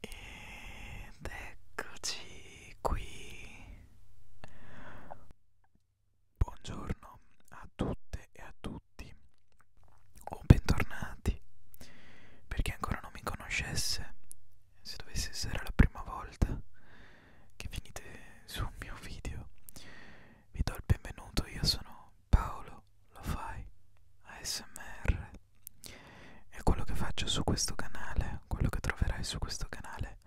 Ed eccoci qui. Buongiorno a tutte e a tutti. O oh, bentornati. Per chi ancora non mi conoscesse, se dovesse essere la prima volta che venite su un mio video, vi do il benvenuto. Io sono Paolo lo fai ASMR e quello che faccio su questo canale, quello che troverai su questo canale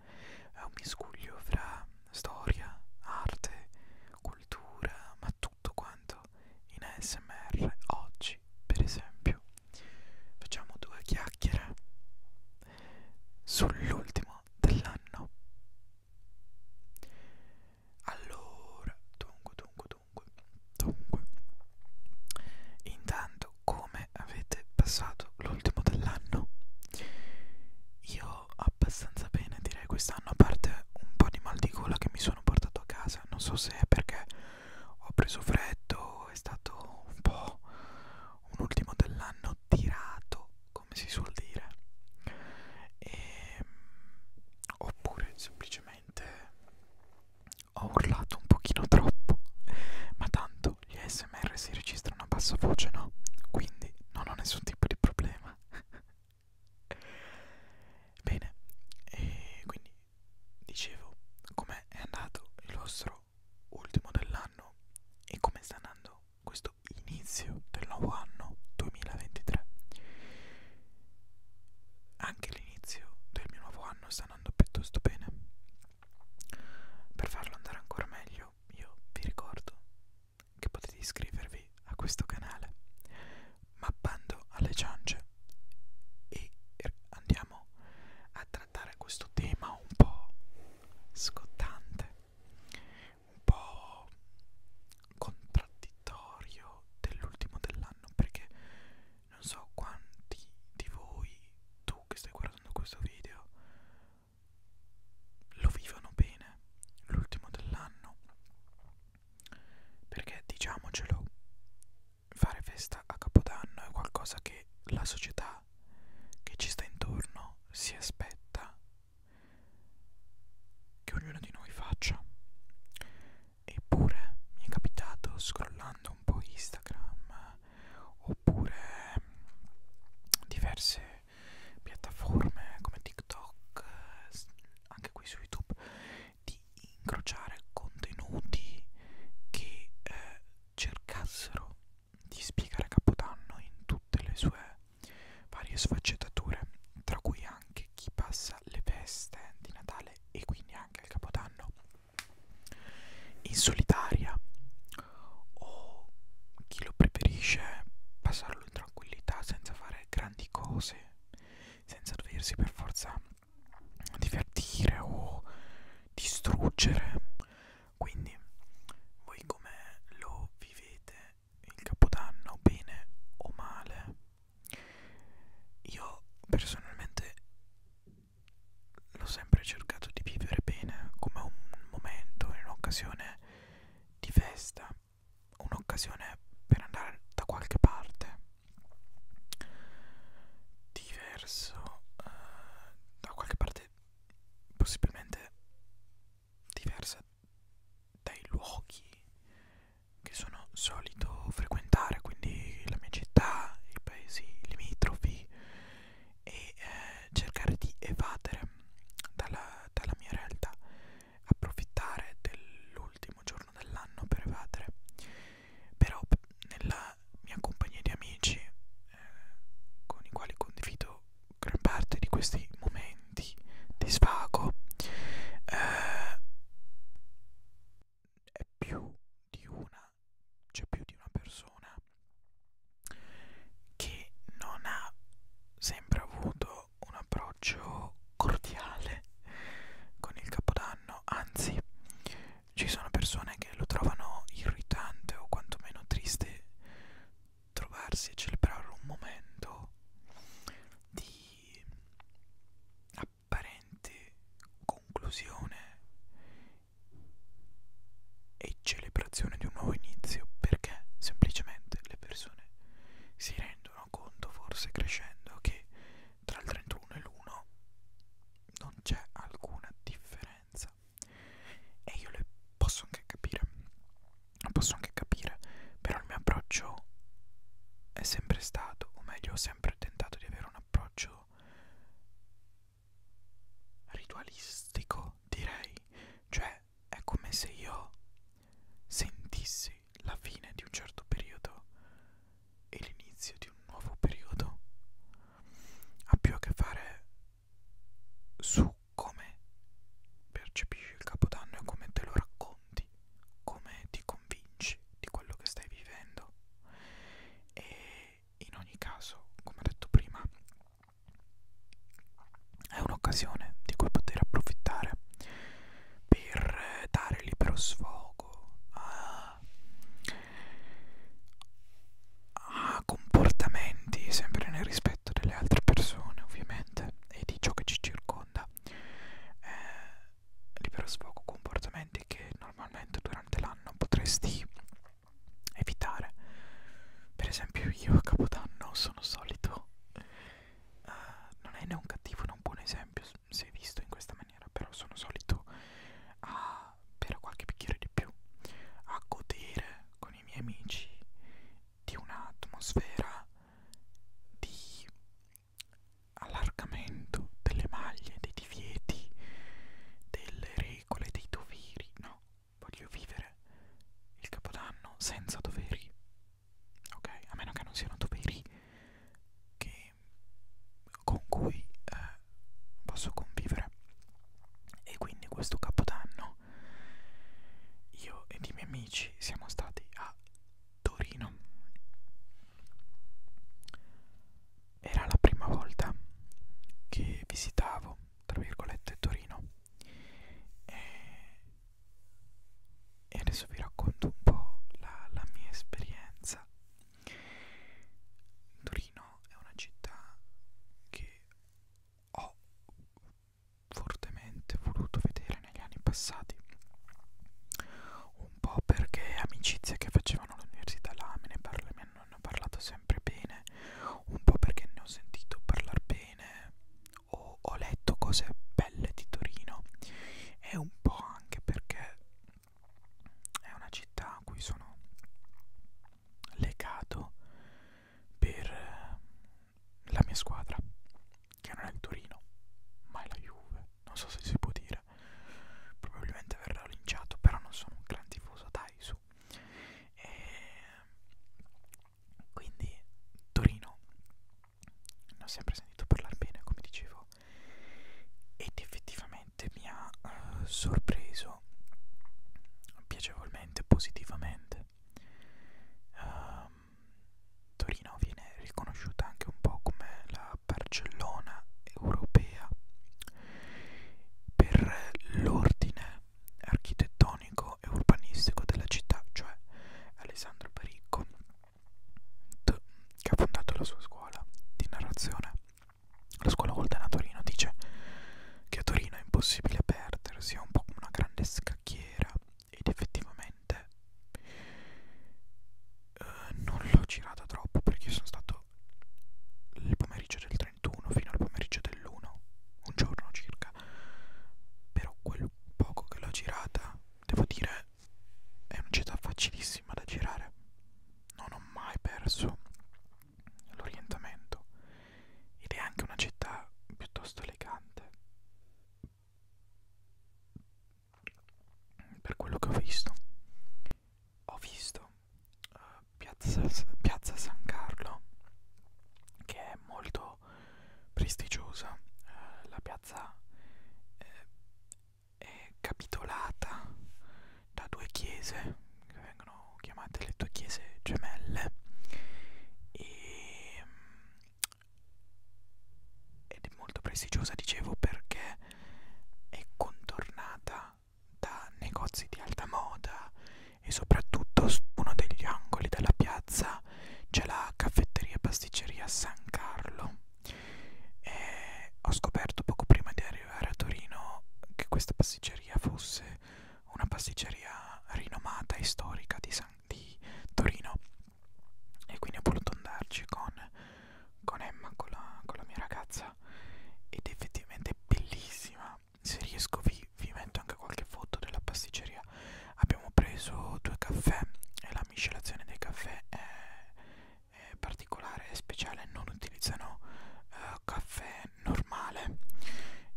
è un miscuglio fra storia, arte, cultura, ma tutto quanto in ASMR oggi, per esempio. Facciamo due chiacchiere sull'ultimo dell'anno. Allora, dunque, dunque, dunque, dunque. Intanto, come avete passato l'ultimo dell'anno? Io abbastanza bene, direi quest'anno, a parte un po' di mal di gola che mi sono portato a casa. Non so se è perché ho preso freddo, è stato un po' un ultimo dell'anno tirato, come si suol dire. E, ehm, oppure semplicemente probabilmente ho urlato un pochino troppo, ma tanto gli ASMR si registrano a bassa voce, no? Quindi non ho nessun tipo di problema. Bene, e quindi dicevo com'è andato il vostro ultimo dell'anno e come sta andando questo inizio del nuovo anno 2023. Anche l'inizio del mio nuovo anno sta andando piuttosto bene. Per farlo andare ancora meglio, io vi ricordo che potete iscrivervi a questo canale mappando alle ciance e andiamo a trattare questo tema un po' scottante, un po' contraddittorio dell'ultimo dell'anno perché non so quanti di voi, tu che stai guardando questo video, lo vivono bene l'ultimo dell'anno perché diciamocelo fare festa a capodanno è qualcosa che la società che ci sta intorno si aspetta che ognuno di noi faccia Eppure mi è capitato scrollando un po' Instagram oppure mm, diverse piattaforme come TikTok, anche qui su YouTube, di incrociare contenuti che eh, cercassero di spiegare Capodanno in tutte le sue varie sfaccettature, tra cui anche anche chi passa le feste di Natale e quindi anche il Capodanno in solitaria o chi lo preferisce passarlo in tranquillità senza fare grandi cose, senza doversi per forza divertire o distruggere. Quindi voi come lo vivete il capodanno bene o male io personalmente l'ho sempre cercato di vivere bene come un momento un'occasione di festa un'occasione per andare da qualche parte diverso eh, da qualche parte possibilmente diversa dai luoghi che sono solito frequentare, quindi la mia città, i paesi limitrofi e eh, cercare di evadere dalla, dalla mia realtà, approfittare dell'ultimo giorno dell'anno per evadere. Però nella mia compagnia di amici eh, con i quali condivido gran parte di questi momenti, di, di svago eh, è più di una c'è cioè più di una persona che non ha sempre avuto un approccio cordiale con il capodanno anzi ci sono persone che lo trovano irritante o quantomeno triste trovarsi e celebrare un momento di di apparente conclusione e celebrazione di un nuovo inizio perché semplicemente le persone si rendono conto forse crescendo che tra il 31 e l'1 non c'è alcuna differenza e io le posso anche capire posso anche capire, però il mio approccio è sempre stato, o meglio ho sempre tentato di avere un approccio ritualistico, direi, cioè è come se io sentissi la fine di un certo periodo e l'inizio di un nuovo periodo. Ha più a che fare su come percepisci il capodanno e come te lo racconti, come ti convinci di quello che stai vivendo. E in ogni caso, come ho detto prima, è un'occasione di cui poter approfittare per dare libero sfogo a, a comportamenti sempre nel rispetto rispetto delle altre persone ovviamente e di ciò che ci circonda eh, libero sfogo comportamenti che normalmente durante l'anno potresti evitare per esempio io a capodanno sono solito eh, non è né un cattivo né un buon esempio se visto in questa maniera però sono solito a bere qualche bicchiere di più a godere con i miei amici di un'atmosfera di allargamento delle maglie, dei divieti, delle regole, dei doveri, no? Voglio vivere il capodanno senza doveri, ok? A meno che non siano doveri che, con cui eh, posso convivere. E quindi questo capodanno io ed i miei amici siamo stati a Torino. Era la prima volta che visitavo, tra virgolette, Torino. E, e adesso vi racconto un po' la, la mia esperienza. Torino è una città che ho fortemente voluto vedere negli anni passati un po' perché amicizie che facevano all'università là me ne, parla, me ne hanno parlato sempre bene un po' perché ne ho sentito parlare bene o ho letto cose belle di Torino e un po' anche perché è una città a cui sono legato per la mia squadra, che non è il Torino, ma è la Juve, non so se si può dire, probabilmente verrà linciato, però non sono un gran tifoso, dai su. E ehm, quindi Torino, ne ho sempre sentito parlare bene, come dicevo, ed effettivamente mi ha uh, sorpreso piacevolmente, positivamente Um, Torino viene riconosciuta anche un po' come la Barcellona europea per l'ordine architettonico e urbanistico della città, cioè Alessandro Pericco, che ha fondato la sua scuola di narrazione. La scuola Voltana a Torino dice che a Torino è impossibile perdersi, è un po' come una grande scacchiera sera ed effettivamente eh, non l'ho girata troppo perché sono stato il pomeriggio del 31 fino al pomeriggio dell'1, un giorno circa, però quel poco che l'ho girata devo dire è una città facilissima da girare, non ho mai perso l'orientamento ed è anche una città piuttosto elegante per quello che ho visto ho visto uh, piazza, piazza San Carlo che è molto prestigiosa uh, la piazza eh, è capitolata da due chiese che vengono vengono chiamate le due chiese gemelle e, mm, ed è molto prestigiosa dicevo perché è contornata da negozi di alta moda e soprattutto su uno degli angoli della piazza c'è la caffetteria e pasticceria San Carlo e ho scoperto poco prima di arrivare a Torino che questa pasticceria fosse una pasticceria rinomata e storica di, San, di Torino e quindi ho voluto andarci con, con Emma, con la, con la mia ragazza ed effettivamente è bellissima se riesco vi, vi metto anche qualche foto della pasticceria abbiamo preso due caffè e la miscelazione dei caffè è, è particolare, è speciale non utilizzano uh, caffè è normale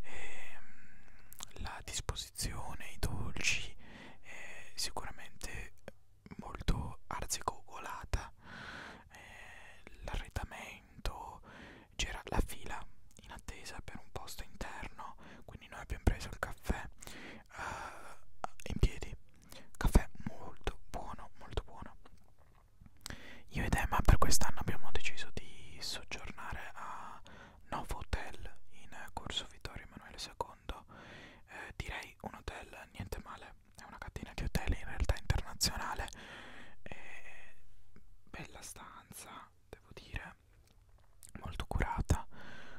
e, ehm, la disposizione, i dolci è sicuramente molto arzigogolata eh, l'arredamento c'era la fila in attesa per un posto interno quindi noi abbiamo preso il caffè uh, in piedi caffè molto buono molto buono io ed Emma per quest'anno abbiamo deciso di soggiornare a Novo Hotel in corso Vittorio Emanuele II. Eh, direi un hotel niente male, è una catena di hotel in realtà internazionale. Eh, bella stanza, devo dire, molto curata,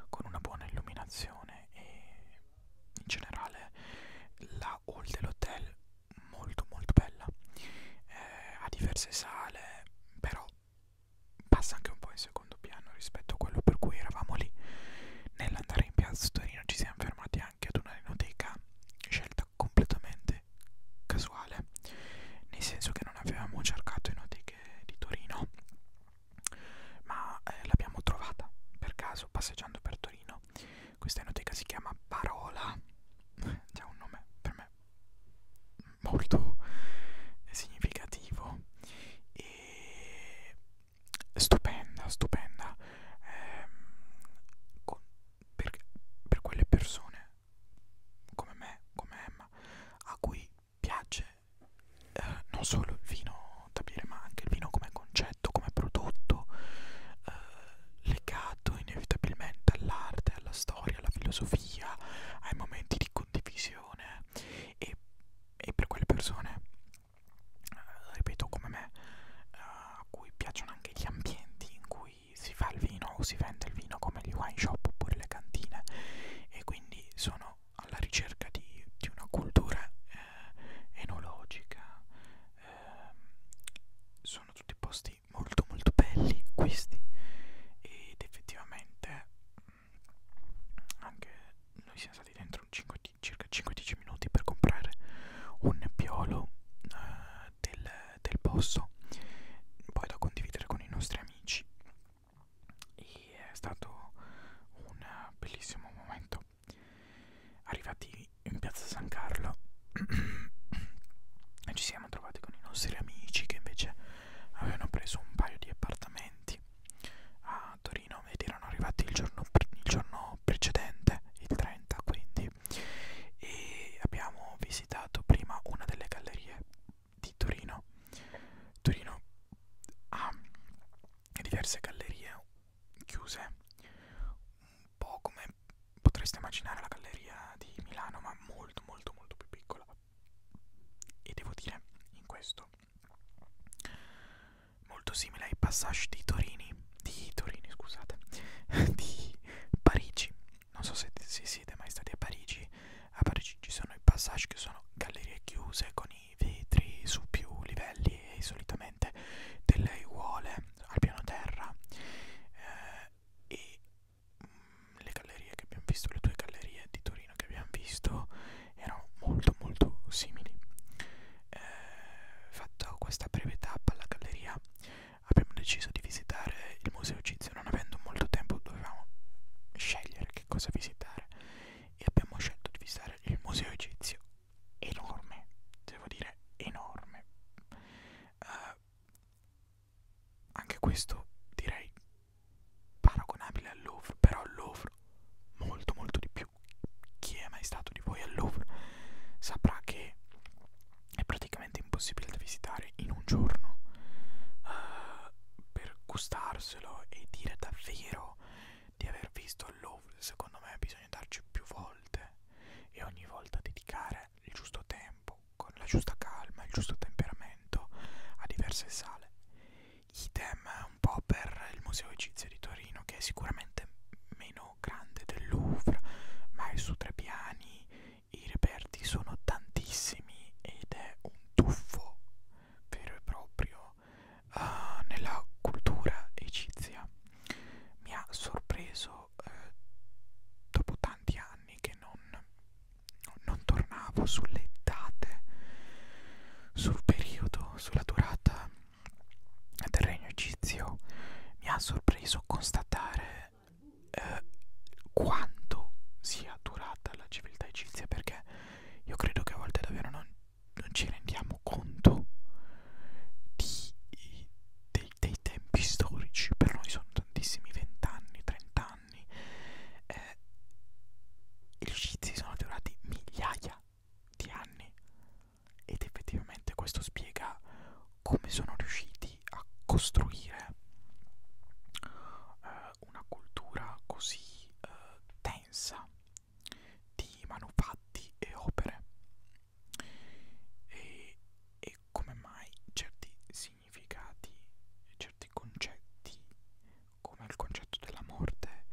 con una buona illuminazione e in generale la hall dell'hotel molto molto bella eh, ha diverse sale però passa anche un po' in secondo piano rispetto a quello per cui eravamo lì nell'andare in piazza Torino ci siamo fermati anche ad una rinoteca scelta completamente casuale nel senso che non avevamo cercato enoteche di Torino ma eh, l'abbiamo trovata per caso passeggiando per Torino questa enoteca si chiama Parola già un nome per me molto significativo e stupenda, stupenda eh, con, per, per quelle persone come me, come Emma, a cui piace eh, non solo il vino da bere ma anche il vino come concetto, come prodotto, eh, legato inevitabilmente all'arte, alla storia, alla filosofia, ai momenti di condivisione e, e per quelle persone, eh, ripeto come me, eh, a cui piacciono anche gli ambienti in cui si fa il vino o si vende il vino come gli wine shop oppure le cantine e quindi sono alla ricerca di, di una cultura eh, enologica. Eh, sono tutti posti posti molto molto belli questi ed effettivamente anche noi siamo stati dentro 5, circa 5-10 minuti per comprare un piolo eh, del, del posto poi da condividere con i nostri amici e è stato un bellissimo momento arrivati in piazza San Carlo ci siamo siamo trovati con i nostri amici che invece avevano preso un paio di appartamenti a Torino ed erano arrivati il giorno, il giorno precedente, il 30 quindi, e abbiamo visitato prima una delle gallerie di Torino. Torino ha diverse gallerie chiuse, un po' come potreste immaginare la galleria di Milano, ma molto molto molto più piccola. E devo dire, in questo, molto simile ai passage di Torini, di Torini scusate, di Parigi. Non so se, se siete mai stati a Parigi, a Parigi ci sono i passage che sono gallerie chiuse con i vetri su più livelli e solitamente delle aiuole al piano terra eh, e mh, mm, le gallerie che abbiamo visto, le due gallerie di Torino che abbiamo visto erano molto molto simili. Eh, fatto questa breve tappa alla galleria abbiamo deciso di visitare il museo egizio, non avendo molto tempo dovevamo scegliere che cosa visitare e abbiamo scelto di visitare il museo egizio enorme, devo dire enorme. Uh, anche questo direi paragonabile al Louvre, però al Louvre molto molto di più. Chi è mai stato di voi al Louvre saprà che è praticamente impossibile da visitare in un giorno. Uh, per gustarselo e dire davvero di aver visto il Louvre, secondo me bisogna darci più volte e ogni volta dedicare il giusto tempo, con la giusta calma, il giusto temperamento a diverse sale. Idem un po' per il Museo Egizio di Torino, che è sicuramente meno grande del Louvre, ma è su tre piani, i reperti sono tantissimi ed è un tuffo vero e proprio uh, nella cultura egizia. Mi ha sorpreso io eh, dopo tanti anni che non, non tornavo sulle date, sul periodo, sulla durata del regno egizio, mi ha sorpreso constatare eh, quanto sia durata la civiltà egizia perché io credo che a volte davvero non, non ci rendiamo conto di, di, dei, dei tempi storici per noi sono tantissimi 20 anni 30 anni eh, gli sciizi sono durati migliaia di anni ed effettivamente questo spiega come sono riusciti a costruire eh, una cultura così eh, densa di manufatti e opere e, e come mai certi significati, certi concetti come il concetto della morte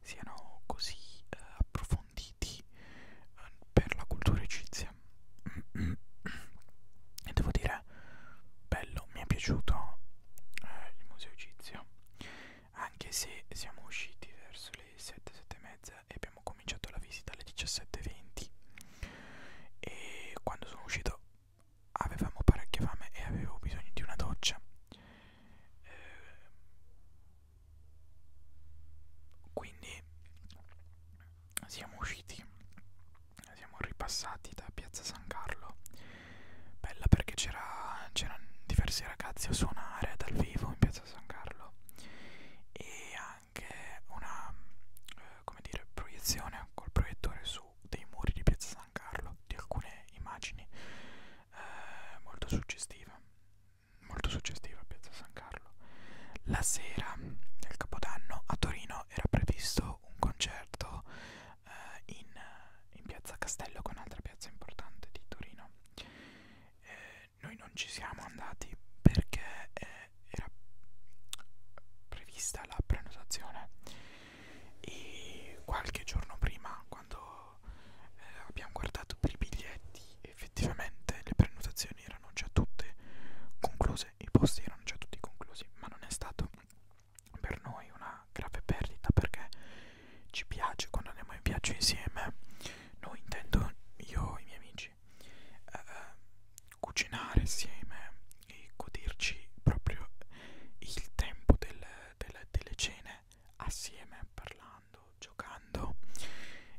siano così eh, approfonditi eh, per la cultura egizia e devo dire bello mi è piaciuto eh, il museo egizio anche se siamo usciti verso le 7 7 e mezza Madrid e abbiamo cominciato la visita alle 17.20 e quando sono uscito avevamo parecchia fame e avevo bisogno di una doccia eh, quindi siamo usciti siamo ripassati da piazza San Carlo bella perché c'erano diversi ragazzi a suonare dal vivo in piazza San Carlo e anche una eh, come dire, proiezione col proiettore su dei muri di Piazza San Carlo di alcune immagini eh, molto suggestive, molto suggestiva Piazza San Carlo. La sera del Capodanno a Torino era previsto un concerto eh, in, in Piazza Castello, che è un'altra piazza importante di Torino. Eh, noi non ci siamo andati perché eh, era prevista la prenotazione e qualche giorno prima quando eh, abbiamo guardato per i biglietti effettivamente le prenotazioni erano già tutte concluse, i posti erano già tutti conclusi, ma non è stato per noi una grave perdita perché ci piace quando andiamo in viaggio insieme. Noi intendo io, i miei amici amici, eh, cucinare insieme e goderci proprio il tempo del, del, delle cene assieme, parlando, giocando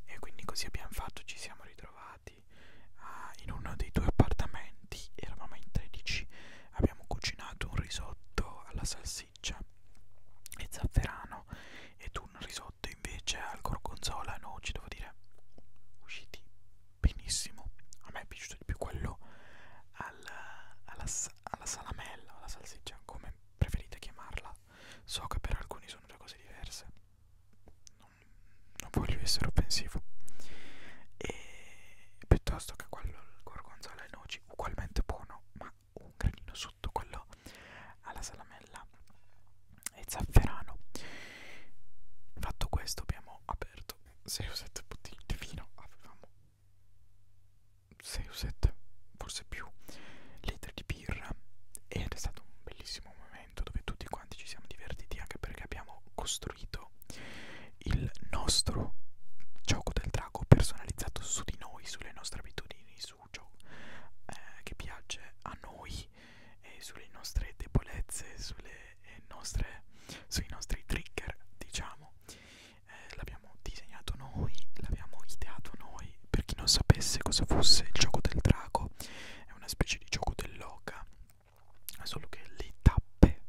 e quindi così abbiamo fatto, ci siamo ritrovati eh, in uno dei due appartamenti, eravamo in 13, abbiamo cucinato un risotto alla salsiccia e zafferano ed un risotto invece al gorgonzola e noci devo dire usciti benissimo a me è piaciuto di più quello al, alla, alla salamella o alla salsiccia come preferite chiamarla so che per alcuni sono due cose diverse non, non voglio essere offensivo e piuttosto che quello al gorgonzola e noci ugualmente buono ma un granino sotto quello alla salamella e zafferano fatto questo abbiamo aperto 6 o 7 bottiglie di vino avevamo 6 o 7 forse più litri di birra ed è stato un bellissimo momento dove tutti quanti ci siamo divertiti anche perché abbiamo costruito il nostro gioco del drago personalizzato su di noi, sulle nostre abitudini, su su ciò eh, che piace a noi e sulle nostre debolezze, sulle eh, nostre, sui nostri trigger, diciamo. Eh, l'abbiamo disegnato noi, l'abbiamo ideato noi. Per chi non sapesse cosa fosse il gioco del drago, è una specie di gioco dell'oca, solo che le tappe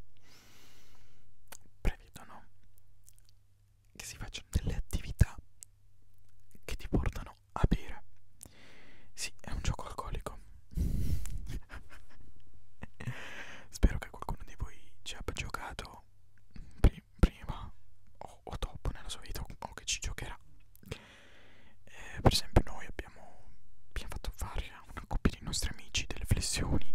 prevedono che si facciano delle attività che ti portano a bere. Sì, è un gioco alcolico. Spero che qualcuno di voi ci abbia giocato prima o, o dopo nella sua vita o che ci giocherà. Eh, per esempio noi abbiamo, abbiamo fatto fare a una coppia di nostri amici delle flessioni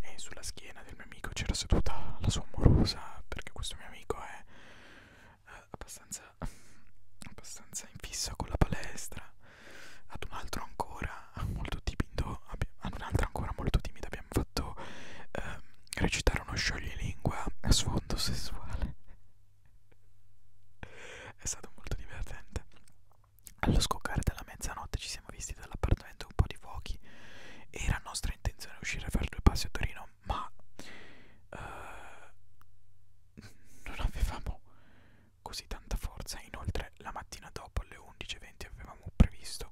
e sulla schiena del mio amico c'era seduta la sua amorosa perché questo mio amico è eh, abbastanza, abbastanza in fissa con la palestra ad un altro ancora molto timido ad un'altra ancora molto timida abbiamo fatto eh, recitare uno scioglilingua a sfondo sessuale è stato molto divertente allo scoccare della mezzanotte ci siamo visti dall'appartamento un po' di fuochi era nostra intenzione uscire a fare due passi a Torino italiano ma eh, non avevamo così tanta forza inoltre la mattina dopo alle 11.20 avevamo previsto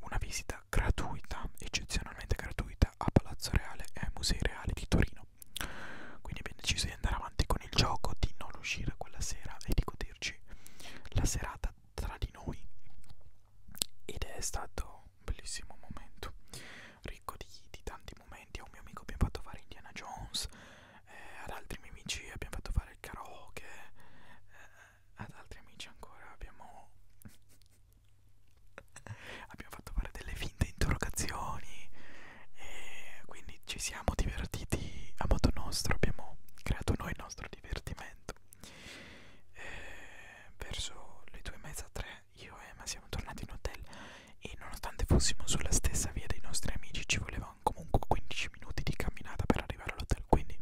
una visita gratuita eccezionalmente gratuita a Palazzo Reale e ai Musei Reali di Torino quindi abbiamo deciso di andare avanti con il gioco di non uscire quella sera e di goderci la serata tra di noi ed è stato un bellissimo momento, ricco di, di tanti momenti. A un mio amico abbiamo fatto fare Indiana Jones, eh, ad altri miei amici abbiamo fatto fare il karaoke, eh, ad altri amici ancora abbiamo, abbiamo fatto fare delle finte interrogazioni. E quindi ci siamo divertiti a modo nostro, abbiamo creato noi il nostro divertimento. E eh, verso le due e mezza, tre, io e Emma siamo tornati in hotel e nonostante fossimo sulla stessa via dei nostri amici ci volevano comunque 15 minuti di camminata per arrivare all'hotel, quindi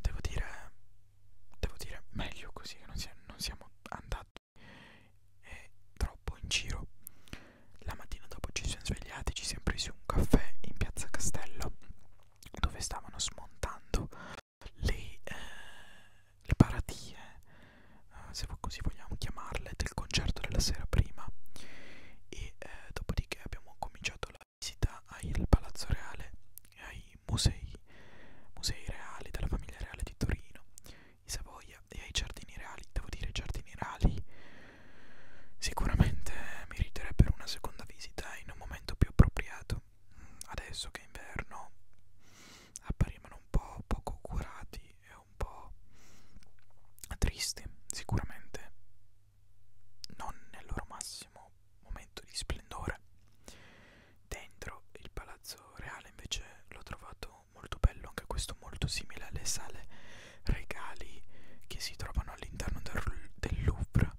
devo dire, devo dire meglio così che non, si, non siamo andati eh, troppo in giro. La mattina dopo ci siamo svegliati, ci siamo presi un caffè in piazza Castello dove stavano smontando le, eh, le paradie, eh, se così vogliamo chiamarle, del concerto della sera prima e eh, dopodiché abbiamo cominciato la visita al Palazzo Reale e ai musei, musei reali della famiglia reale di Torino, i Savoia e ai giardini reali. Devo dire, i giardini reali sicuramente meriterebbero una seconda visita in un momento più appropriato adesso che è inverno apparivano un po' poco curati e un po' tristi, sicuramente non nel loro massimo momento di splendore. Dentro il palazzo reale invece l'ho trovato molto bello, anche questo molto simile alle sale regali che si trovano all'interno del, del Louvre sembra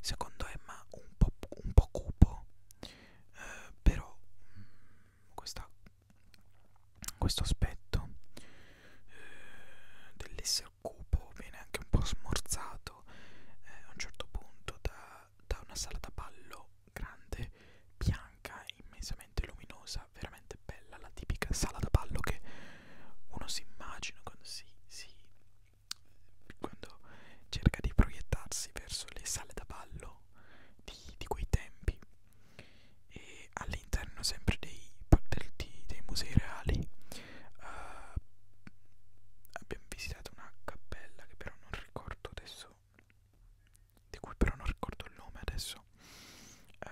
secondo Emma un po', un po cupo eh, però mm, questa, questo aspetto eh, dell'essere cupo viene anche un po' smorzato eh, a un certo punto da, da una sala da ballo grande, bianca, immensamente luminosa, veramente bella, la tipica sala da ballo che uno si immagina quando si, si quando cerca di proiettarsi verso le sale da ballo di, di quei tempi e all'interno sempre dei, dei, dei musei reali uh, abbiamo visitato una cappella che però non ricordo adesso di cui però non ricordo il nome adesso uh,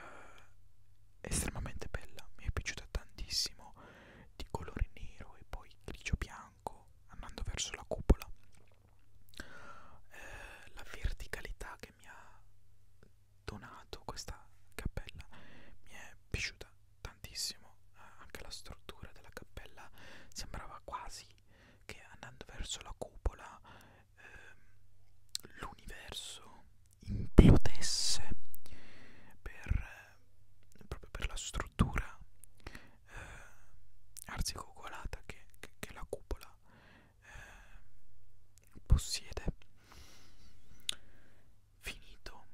estremamente bella mi è piaciuta tantissimo di colore nero e poi grigio bianco andando verso la cupola eh, la verticalità che mi ha donato questa cappella mi è piaciuta tantissimo eh, anche la struttura della cappella sembrava quasi che andando verso la cupola eh, l'universo implodesse per eh, proprio per la struttura eh, arzigogolata che, che, che la cupola eh, possiede. Finito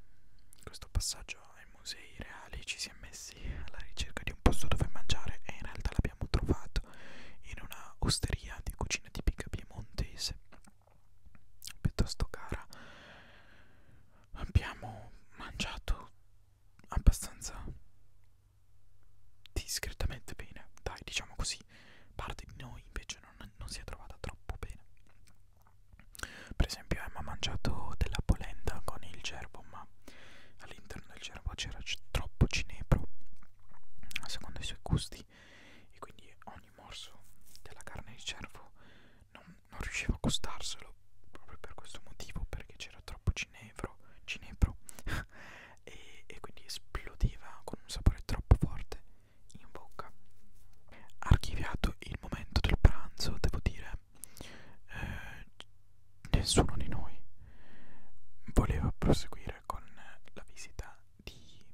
questo passaggio ai musei reali ci si è messi alla ricerca di un posto dove mangiare e in realtà l'abbiamo trovato in una osteria di cucina tipica piemontese piuttosto cara abbiamo mangiato abbastanza discretamente bene dai diciamo così parte di noi invece non, non si è trovata troppo bene per esempio Emma ha mangiato della polenta con il gerbo ma all'interno del gerbo c'era troppo cinebro secondo i suoi gusti e quindi ogni morso della carne di cervo non, non riuscivo a costarselo proprio per questo motivo perché c'era troppo cinevro, cinebro e, e quindi esplodeva con un sapore troppo forte in bocca archiviato il momento del pranzo devo dire eh, nessuno di noi voleva proseguire con la visita di,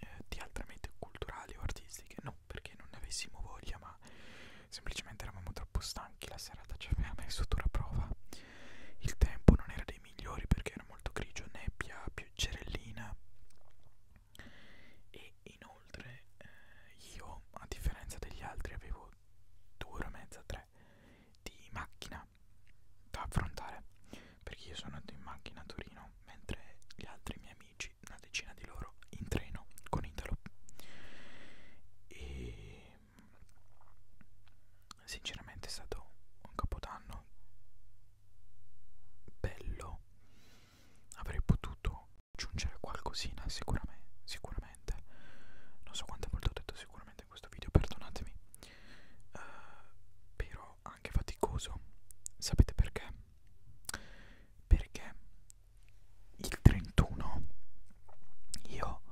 eh, di altre mete culturali o artistiche non perché non ne avessimo voglia, ma semplicemente eravamo troppo stanchi, la serata ci cioè aveva messo dura prova. Il tempo non era dei migliori perché era molto grigio, nebbia, pioggerellina. E inoltre eh, io, a differenza degli altri, avevo due ore e mezza, tre di macchina da affrontare perché io sono andato in macchina a Torino mentre gli altri miei amici una decina di loro in treno con Italo e sinceramente è stato un capodanno bello avrei potuto aggiungere qualcosina sicuramente sicuramente non so quante volte ho detto sicuramente in questo video perdonatemi uh, però lavoro anche faticoso. Sapete perché? Perché il 31 io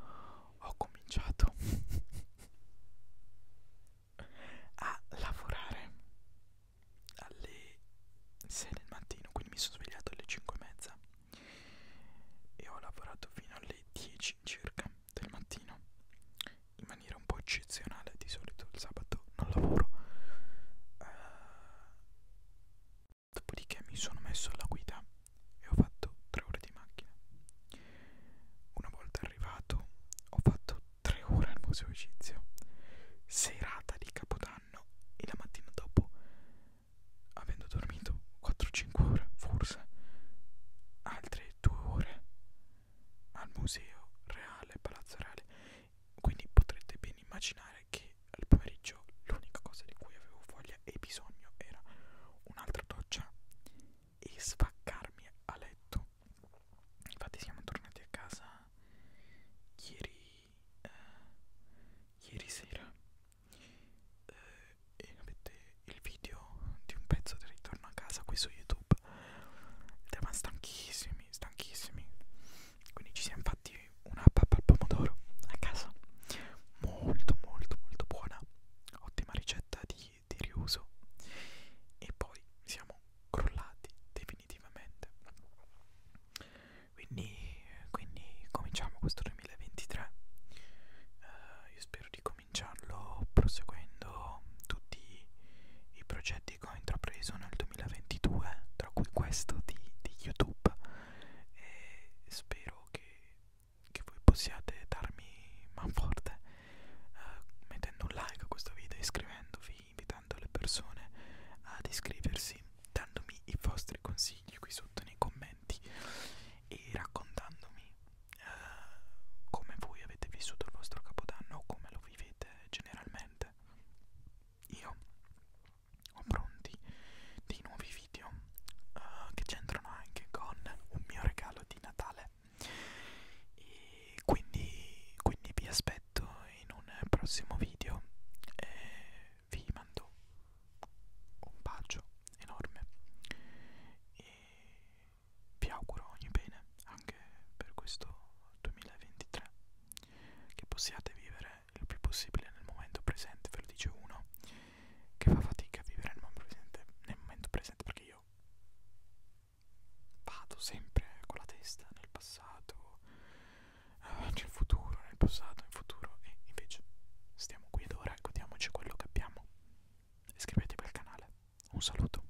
ho cominciato a lavorare alle 6 del mattino, quindi mi sono svegliato alle 5 e mezza e ho lavorato fino alle 10 circa del mattino in maniera un po' eccezionale, di solito il sabato non lavoro. Uh, dopodiché mi sono messo alla guida e ho fatto 3 ore di macchina. Una volta arrivato ho fatto 3 ore al museo egizio, serata di Capodanno e la mattina dopo, avendo dormito 4-5 ore forse, altre 2 ore al museo reale, palazzo reale quindi potrete ben immaginare che al pomeriggio l'unica cosa di cui avevo voglia e bisogno era un'altra doccia e sfaccarmi a letto. Infatti siamo tornati a casa ieri, eh, ieri sera eh, e avete il video di un pezzo del ritorno a casa qui su YouTube YouTube. Ma stanchissimi, stanchissimi. Quindi ci siamo fatti una pappa al pomodoro a casa. Molto, molto, molto buona. Ottima ricetta di, di riuso. E poi siamo crollati definitivamente. Quindi, quindi cominciamo questo 2023. Uh, eh, io spero di cominciarlo proseguendo tutti i progetti che ho intrapreso nel 2023 2022 tra cui questo di, di youtube e spero che, che voi possiate darmi man forte uh, mettendo un like a questo video iscrivendovi invitando le persone ad iscriversi dandomi i vostri consigli qui sotto nei commenti e raccontandomi uh, come voi avete vissuto il vostro capodanno o come lo vivete generalmente sicuramente io ho pronti dei nuovi video uh, che c'entrano anche con un mio regalo di Natale e quindi, quindi vi aspetto in un prossimo video e vi mando un bacio enorme e vi auguro ogni bene anche per questo 2023 che possiate vivere il più possibile nel momento presente ve lo dice uno che fa fatica a vivere nel momento presente, nel momento presente perché io vado sempre con la testa nel passato eh, nel futuro nel passato in futuro e invece stiamo qui ed ora godiamoci quello che abbiamo iscrivetevi al canale un saluto